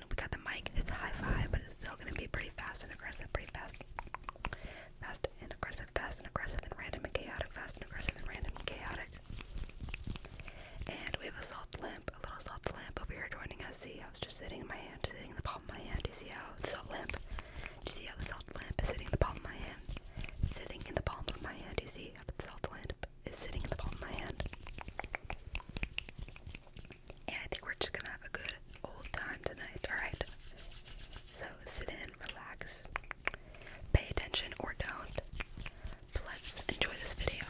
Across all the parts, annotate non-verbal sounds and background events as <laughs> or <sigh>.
Dylan. We got the mic. It's high five, but it's still gonna be pretty fast and aggressive, pretty fast. Fast and aggressive, fast and aggressive, and random and chaotic, fast and aggressive and random and chaotic. And we have a salt lamp, a little salt lamp over here joining us. See, I was just sitting in my hand, sitting in the palm of my hand. Do you see how the salt lamp? Do you see how the salt lamp is sitting in the palm of my hand? Sitting in the palm of my hand. Do you see how the salt lamp is sitting in the palm of my hand? And I think we're just gonna have a good old time tonight, alright? So sit in, relax, pay attention or don't. let's enjoy this video.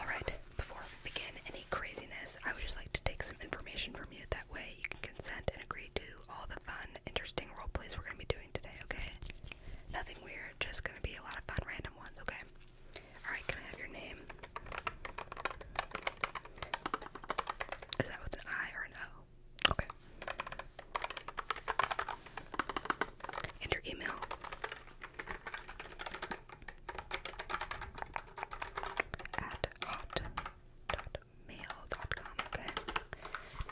Alright, before we begin any craziness, I would just like to take some information from you. That way you can consent and agree to all the fun, interesting role plays we're gonna be doing today, okay? Nothing weird are just gonna be a lot of fun random ones, okay? Alright, can I have your name? Is that with an I or an O? Okay. And your email. At hot.mail.com, okay?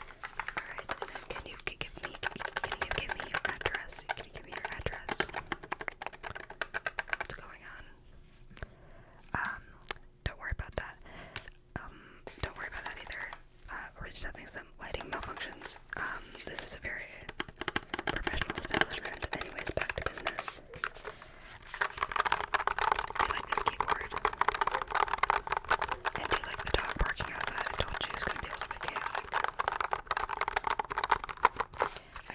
Alright, can you give me can you give me your address? Can you give me your address? What's going on? Um, don't worry about that. Um, don't worry about that either. Uh, we're just having some lighting malfunctions. Um, this is a very professional establishment. Anyways, back to business. Do like this keyboard? And do you like the dog barking outside? I told you it's gonna be a I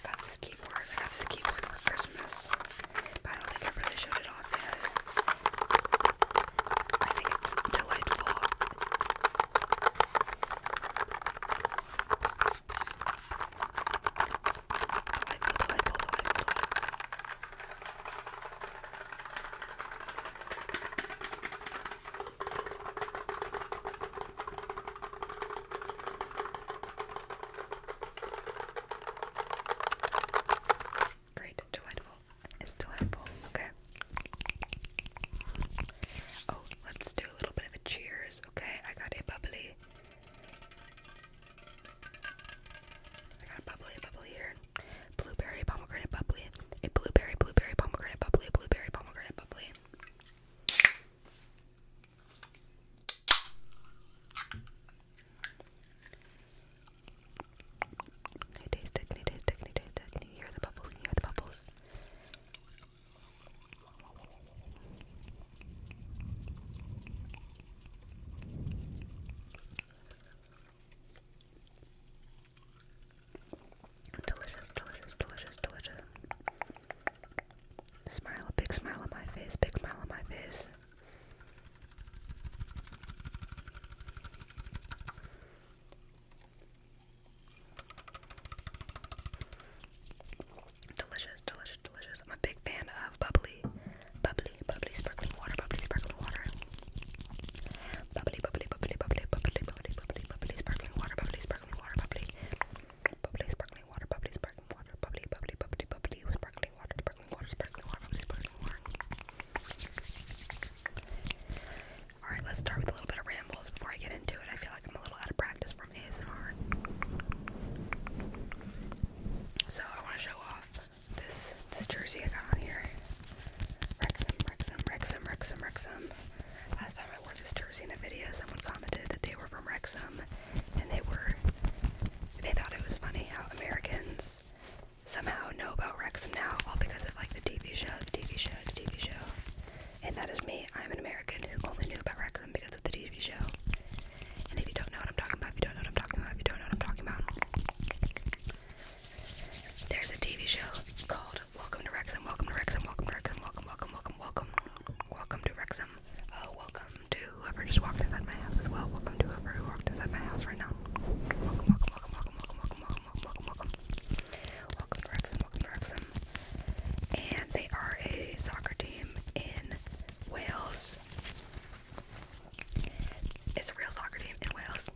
got this keyboard. I got this keyboard for Christmas, but I don't think i really showed it off yet. I think it's delightful. Great, delightful. It's delightful. Okay. Oh, let's do a little bit of a cheers. Okay, I got a bubbly. I got a bubbly, bubbly here blueberry pomegranate bubbly, a blueberry blueberry pomegranate bubbly, a blueberry pomegranate bubbly. Can you taste it? Can you taste it? Can you taste it? Can you hear the bubbles? hear the bubbles? Delicious, delicious, delicious, delicious. Smile, big smile on my face, big smile on my face. Delicious, delicious, delicious. I'm a big fan of bubbly, bubbly, bubbly, sparkling water, bubbly, sparkling water bubbly, bubbly, bubbly, bubbly, bubbly, bubbly, bubbly, bubbly, sparkling water, bubbly, sparkling water, bubbly, bubbly, sparkling water, bubbly, sparkling water, bubbly, bubbly, bubbly, bubbly, sparkling water, sparkling water, sparkling water, bubbly, sparkling water. All right, let's start with a little bit of rambles before I get into it. I feel like I'm a little out of practice from ASMR. So I want to show off this this jersey I got on here. Wrexham, Wrexham, Wrexham, Wrexham, Wrexham. Last time I wore this jersey in a video, someone commented that they were from Wrexham, and they were. They thought it was funny how Americans somehow know about Wrexham now, all because of like the TV show, the TV show, the TV show. And that is me. I'm an American who only knew about Wrexham because of the TV show. And if you don't know what I'm talking about, if you don't know what I'm talking about, if you don't know what I'm talking about, there's a TV show called Welcome to Wrexham, Welcome to Wrexham, Welcome to Wrexham, Welcome, Welcome, Welcome, Welcome, Welcome to Wrexham. Uh, welcome to whoever just walked inside my house as well. Welcome to whoever who walked inside my house right now. Welcome, welcome, welcome, welcome, welcome, welcome, welcome, welcome, welcome. Welcome to Wrexham, Welcome to Wrexham. And they are a soccer team in Wales. It's a real soccer team in Wales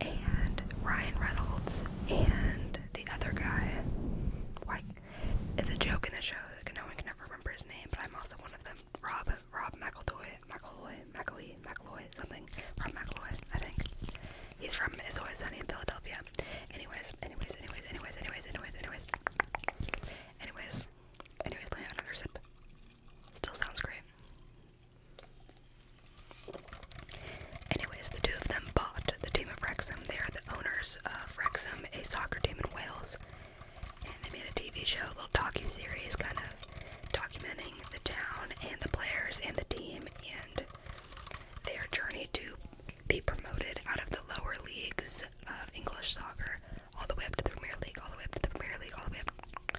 and Ryan Reynolds and the other guy. Why? It's a joke in the show that no one can ever remember his name, but I'm also one of them. Rob, Rob McEldoy, McElroy, McElroy, McElroy, something. Rob McElroy, I think. He's from It's Always Sunny in Philadelphia. Anyways, anyways, anyways, anyways, anyways, anyways, anyways. Anyways, anyways, let me have another sip. Still sounds great. Anyways, the two of them bought the team of Wrexham. They are the owners of Wrexham, a soccer team in Wales. And they made a TV show, a little docu series, kind of documenting the town and the players and the team and their journey to be promoted out of the lower leagues of English soccer, all the way up to the Premier League, all the way up to the Premier League, all the way up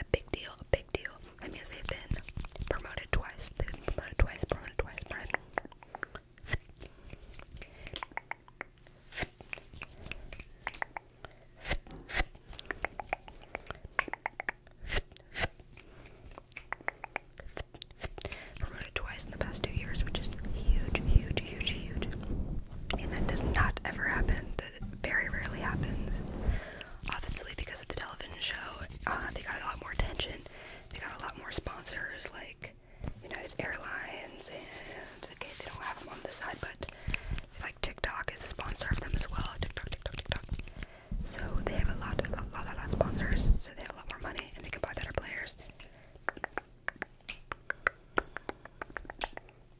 a big deal, a big deal. I mean, they've been promoted twice. They've been promoted twice, promoted twice, Promoted twice in the past two years, which is huge, huge, huge, huge. And that does not ever happen very rarely happens. Obviously, because of the television show, uh, they got a lot more attention. They got a lot more sponsors, like United Airlines, and okay, they don't have them on this side, but like TikTok is a sponsor of them as well. TikTok, TikTok, TikTok. So they have a lot, a lot, lot, lot of sponsors. So they have a lot more money, and they can buy better players.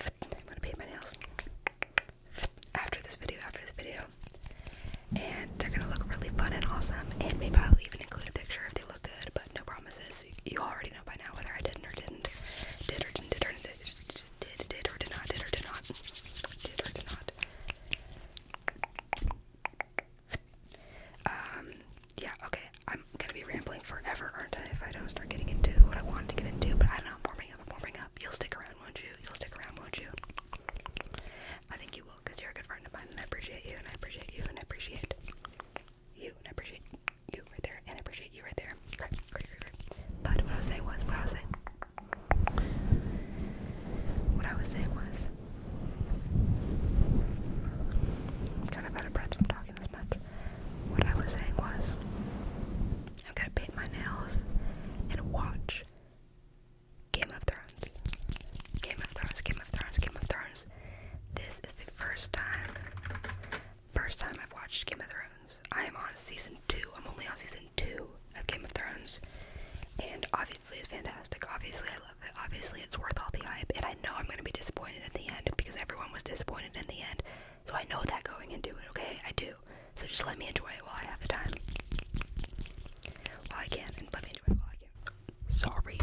I'm gonna paint my nails after this video, after this video. And they're gonna look really fun and awesome. And maybe I'll even include a picture if they look good, but no promises. You already know by now whether I didn't or didn't. Did or didn't, did or didn't, did, did or did not, did or did not, did or did not. Um, yeah, okay, I'm gonna be rambling forever, aren't I, if I don't start getting into what I want to get into, but I don't know, I'm warming up, I'm warming up. You'll stick around, won't you? You'll stick around, won't you? I think you will, because you're a good friend of mine, and I appreciate you, and I appreciate you, and I appreciate you, and I appreciate you right there, and I appreciate you right there. But what I was saying was, what I was saying, what I was saying was, I'm kind of out of breath from talking this much. What I was saying was, I'm gonna paint my nails and watch Game of Thrones. Game of Thrones, Game of Thrones, Game of Thrones. This is the first time, first time I've watched Game of Thrones. I am on season two. I'm only on season two of Game of Thrones. And obviously it's fantastic. Obviously I love it. Obviously it's worth all the hype. I know I'm gonna be disappointed at the end because everyone was disappointed in the end. So I know that going into it, okay? I do. So just let me enjoy it while I have the time. While I can, and let me enjoy it while I can. Sorry.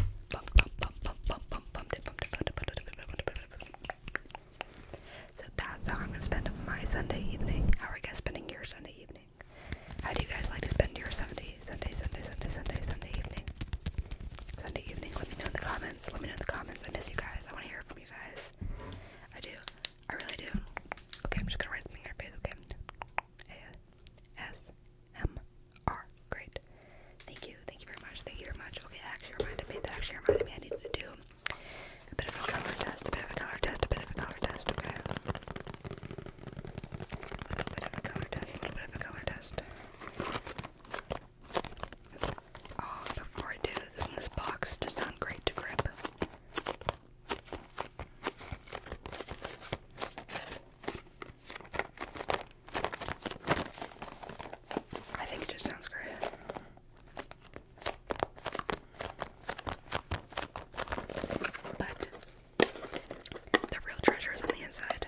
So that's how I'm gonna spend my Sunday evening. How are you guys spending your Sunday evening? How do you guys like to spend your Sunday, Sunday, Sunday, Sunday, Sunday, Sunday evening? Sunday evening. Let me know in the comments. Let me know in the comments. I miss you guys. I want to hear from you guys. I do. I really do. Okay, I'm just gonna write something in your okay? A S M R. Great. Thank you. Thank you very much. Thank you very much. Okay, that actually reminded me. That actually reminded me I needed to do a bit of a color test, a bit of a color test, a bit of a color test, okay? A little bit of a color test, a little bit of a color test. Oh, before I do this this box to sound great to grip. I think it just sounds great. But the real treasure is on the inside.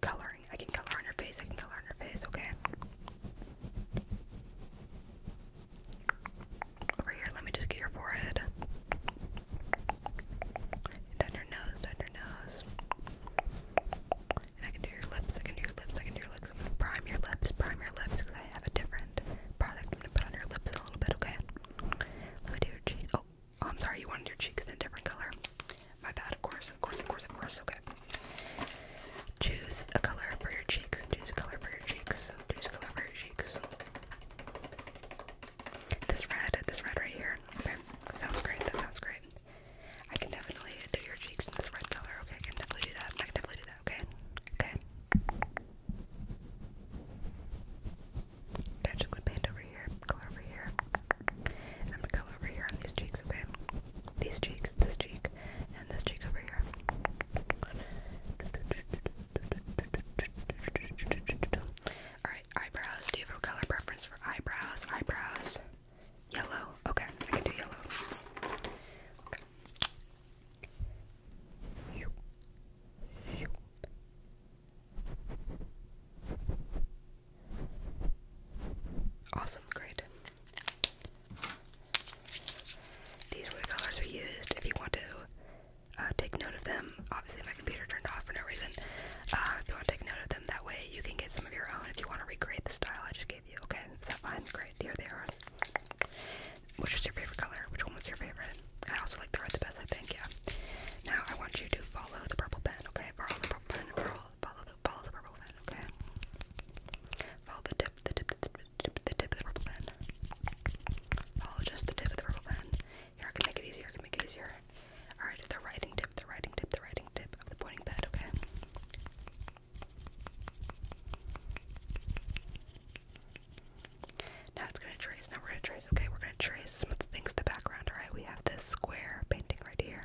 coloring. I can color on your face. I can color on your face, okay? Over here, let me just get your forehead. Down your nose, down your nose. And I can do your lips, I can do your lips, I can do your lips. am gonna prime your lips, prime your lips, because I have a different product I'm gonna put on your lips a little bit, okay? Let me do your cheeks. Oh, oh I'm sorry, you wanted your cheeks in a different color. My bad, of course, of course, of course, of course, okay. Choose a color for your cheeks. Choose a color for your cheeks. Choose a color for your cheeks. This red, this red right here. Okay, that sounds great, that sounds great. I can definitely do your cheeks in this red color, okay? I can definitely do that. I can definitely do that, okay? Okay. Get liquid paint over here, color over here. I'm gonna go over here on these cheeks, okay? These cheeks, this cheek, and this cheek over here. Alright, eyebrows. Do you have a color preference for eyebrows? Eyebrows. Yellow. Okay, I can do yellow. Okay. Awesome, great. These were the colors we used. If you want to uh, take note of them, obviously my computer turned off for no reason. Uh, if you want to take note of them, that way you can get some of your own if you want to recreate the style I just gave you. Okay, is that fine? Great, here they are. Which was your favorite color? Which one was your favorite? I also like the red the best, I think, yeah. Now I want you to follow the purple pen, okay? Borrow the purple pen, borrow follow, follow the follow the purple pen, okay? Follow the tip, the tip, the tip, the tip of the purple pen. Follow just the tip of the purple pen. Here, I can make it easier. I can make it easier. All right, the writing tip, the writing tip, the writing tip of the pointing pen, okay? Now it's gonna trace. Now we're gonna trace. Okay, we're gonna trace some of the things in the background. All right, we have this square painting right here.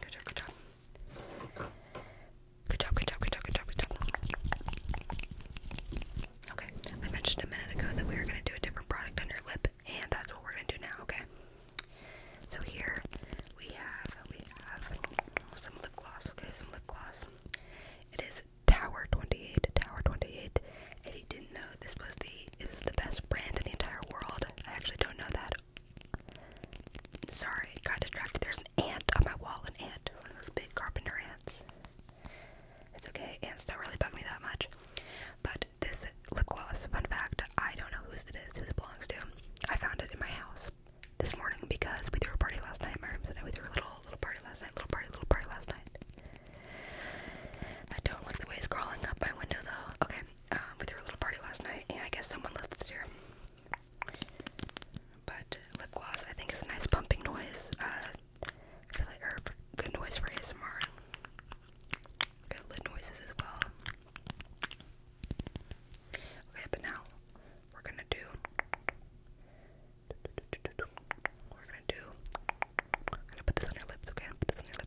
Good job, good job. Good job, good job, good job, good job, Okay, I mentioned a minute ago that we were gonna do a different product on your lip, and that's what we're gonna do now, okay? So here we have we have some lip gloss, okay, some lip gloss. It is Tower 28, Tower 28. If you didn't know, this was the is the best brand in the entire world. I actually don't know that Sorry, got distracted. There's an ant on my wall, an ant, one of those big carpenter ants. It's okay, ants don't really bug me that much. But this lip gloss, fun fact, I don't know whose it is, whose it belongs to. I found it in my house this morning because we threw a party last night. My room said we threw a little little party last night, little party, little party last night. I don't like the way it's crawling up my window though. Okay, um, with her little party last night, and I guess someone lives here. But lip gloss, I think, is a nice pumping noise. Uh, I feel like, or good noise for ASMR. Good lid noises as well. Okay, but now we're gonna do. We're gonna do. I'm gonna put this on your lips, okay? Put this on your lips.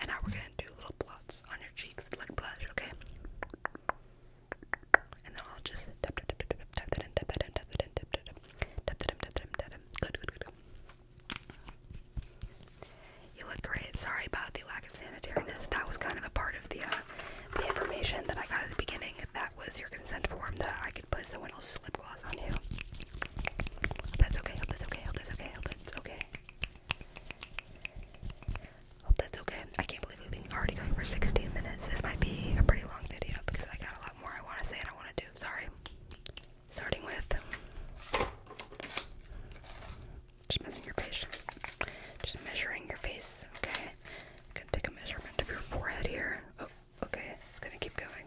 and now we're gonna do little blots on your cheeks like blush, okay? And then I'll just Good, good, good, good. You look great. Sorry about the lack of sanitariness. That was kind of a part of the the information that I got at the beginning. That was your consent form that I could put someone else's slip gloss on you. that's okay. that's okay. that's okay. It's okay. Hope that's okay. I can't believe we've been already going for 16 minutes. This might be a pretty long video because I got a lot more I want to say and I want to do. Sorry. Starting with just messing your face. Just measuring your face. Okay. I'm gonna take a measurement of your forehead here. Oh, okay. It's gonna keep going.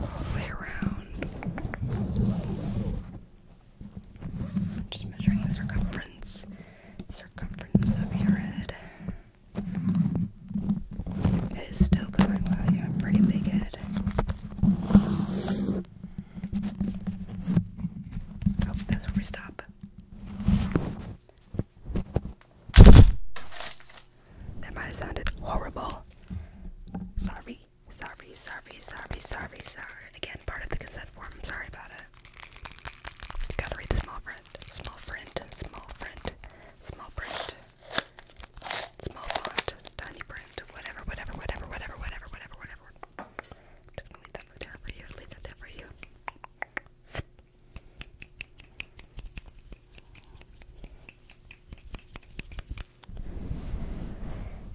all the way around. I'm just measuring the circumference, circumference of your head. It is still going well. You got a pretty big head. Oh, that's where we stop. That might have sounded horrible. Sorry, sorry, sorry, sorry, sorry, sorry. Again, part of the consent form. I'm sorry about it. Gotta read the small print. Small print. Small print. Small print. Small font. Tiny print. Whatever, whatever, whatever, whatever, whatever, whatever, whatever. I'm just gonna leave that right there for you. Leave that there for you.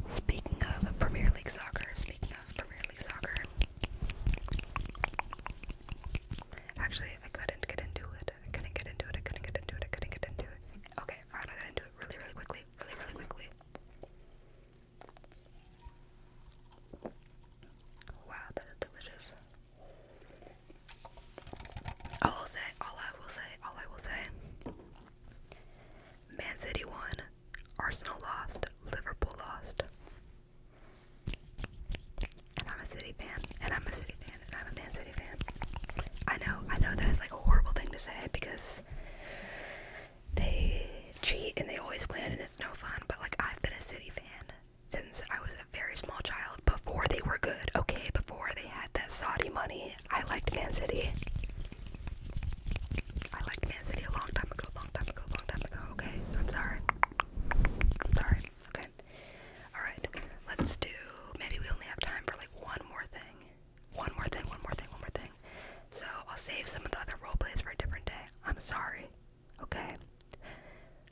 Speaking of Premier League soccer, speaking of Premier League soccer, actually, I couldn't get into it. I couldn't get into it. I couldn't get into it. I couldn't get into it. Okay, alright, I got into it really, really quickly. Really, really quickly. Wow, that is delicious. All i say, all I will say, all I will say. Man City won, Arsenal lost, Liverpool lost. And I'm a City fan, and I'm a City fan, and I'm a Man City fan. I know, I know that is like a horrible thing to say because they cheat and they always win and it's no fun, but like I've been a City fan since I was a very small child before they were good, okay? Before they had that Saudi money, I liked Man City. I liked Man City a long time ago, long time ago, long time ago. Okay, I'm sorry. sorry. Okay. Alright, let's do. Maybe we only have time for like one more thing. One more thing, one more thing, one more thing. So I'll save some of the other role plays for a different day. I'm sorry. Okay.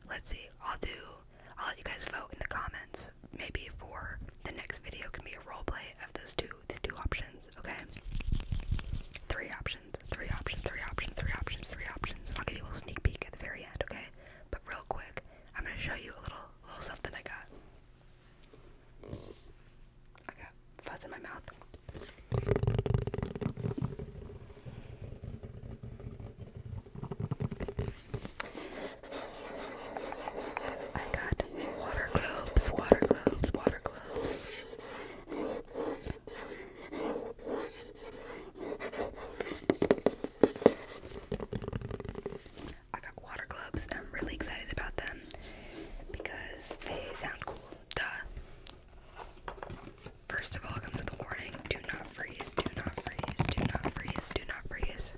Let's see. I'll do. I'll let you guys vote in the comments options maybe for the next video can be a role play of those two these two options okay three options three options three options three options three options and i'll give you a little sneak peek at the very end okay but real quick i'm going to show you a little a little something i got i got fuzz in my mouth I got water globes, water globes, water globes. I got water globes and I'm really excited about them because they sound cool. Duh. First of all, comes with a warning do not freeze, do not freeze, do not freeze, do not freeze.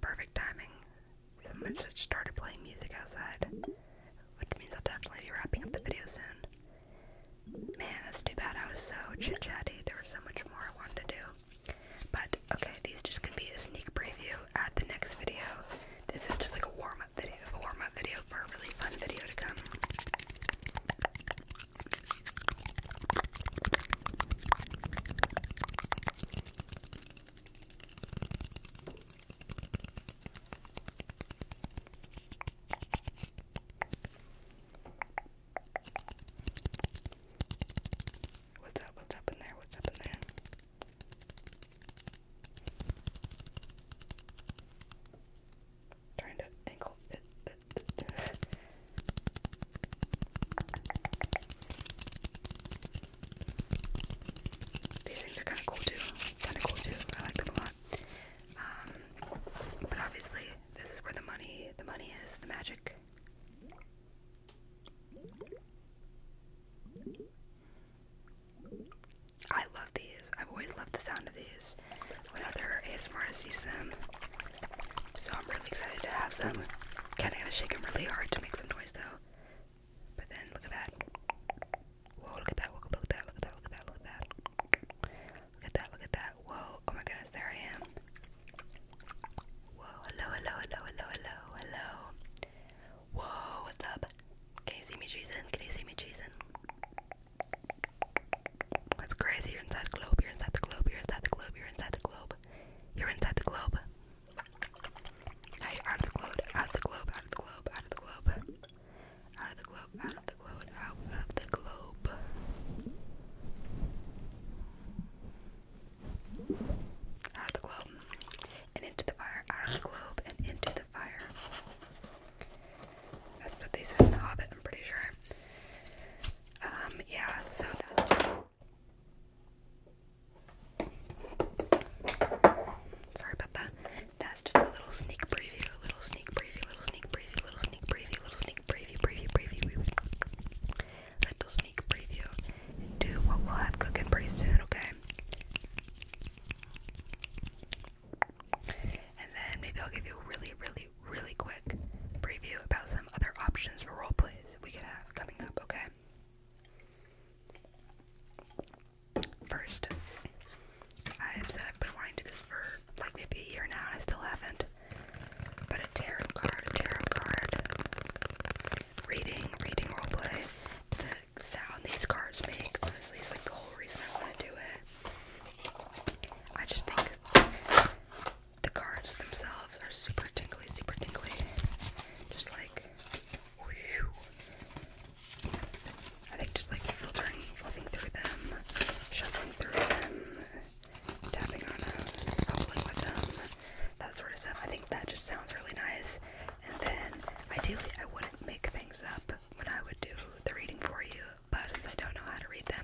Perfect timing. Someone just started playing music outside, which means I'll definitely be wrapping up the video soon. Man, that's too bad. I was so chit chatty. There was so much more I wanted to do. But okay, these just gonna be a sneak preview at the next video. This is just like a warm up video, a warm up video for a really fun video to come. What's up? What's up in there? What's up in there? Trying to angle it these are kind of cool too. Kind of cool too. I like them a lot. Um, but obviously, this is where the money, the money is, the magic. I love these. I've always loved the sound of these. When other ASMRs them, so I'm really excited to have some. Kinda gotta shake them really hard to make some noise though. But then look at that. Whoa, look at that, look at that, look at that, look at that, look at that. Look at that, look at that. Whoa, oh my goodness, there I am. Whoa, hello, hello, hello, hello, hello, Whoa, what's up? Can you see me cheesing? Can you see me cheesing? That's crazy, you're inside the globe, you're inside the globe, you're inside the globe, you're inside the globe. You're inside the globe. out of the globe, out of the globe, out of the globe. Out of the globe, out of the globe, out of the globe. Out of the globe. And into the fire, out of the globe, and into the fire. That's what they said in The Hobbit, I'm pretty sure. Um, yeah, so that sorry about that. That's just a little sneak preview, a little sneak preview, little sneak preview, little sneak preview, little sneak preview, preview, preview, preview. little sneak preview to what we'll have cooking pretty soon, okay? And then maybe I'll give you a really, really, really, quick preview about some other options for role plays we could have coming up, okay? First, I've said I've been wanting to do this for like maybe a year now I still haven't. But a tarot card, tarot card, reading, reading roleplay. The sound these cards make, honestly, is like the whole reason I want to do it. I just think the cards themselves are super tingly, super tingly. Just like, I think just like filtering, flipping through them, shuffling through them, tapping on them, bubbling with them, that sort of stuff. I think that just sounds really nice. And then ideally, I wouldn't make things up when I would do the reading for you, but since I don't know how to read them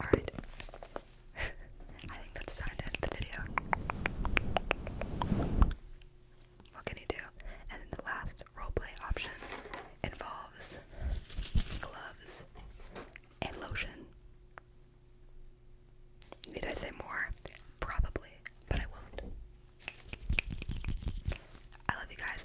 Alright. <laughs> I think that's the end of the video. What can you do? And the last roleplay option involves gloves and lotion. Need I say more? Probably, but I won't. I love you guys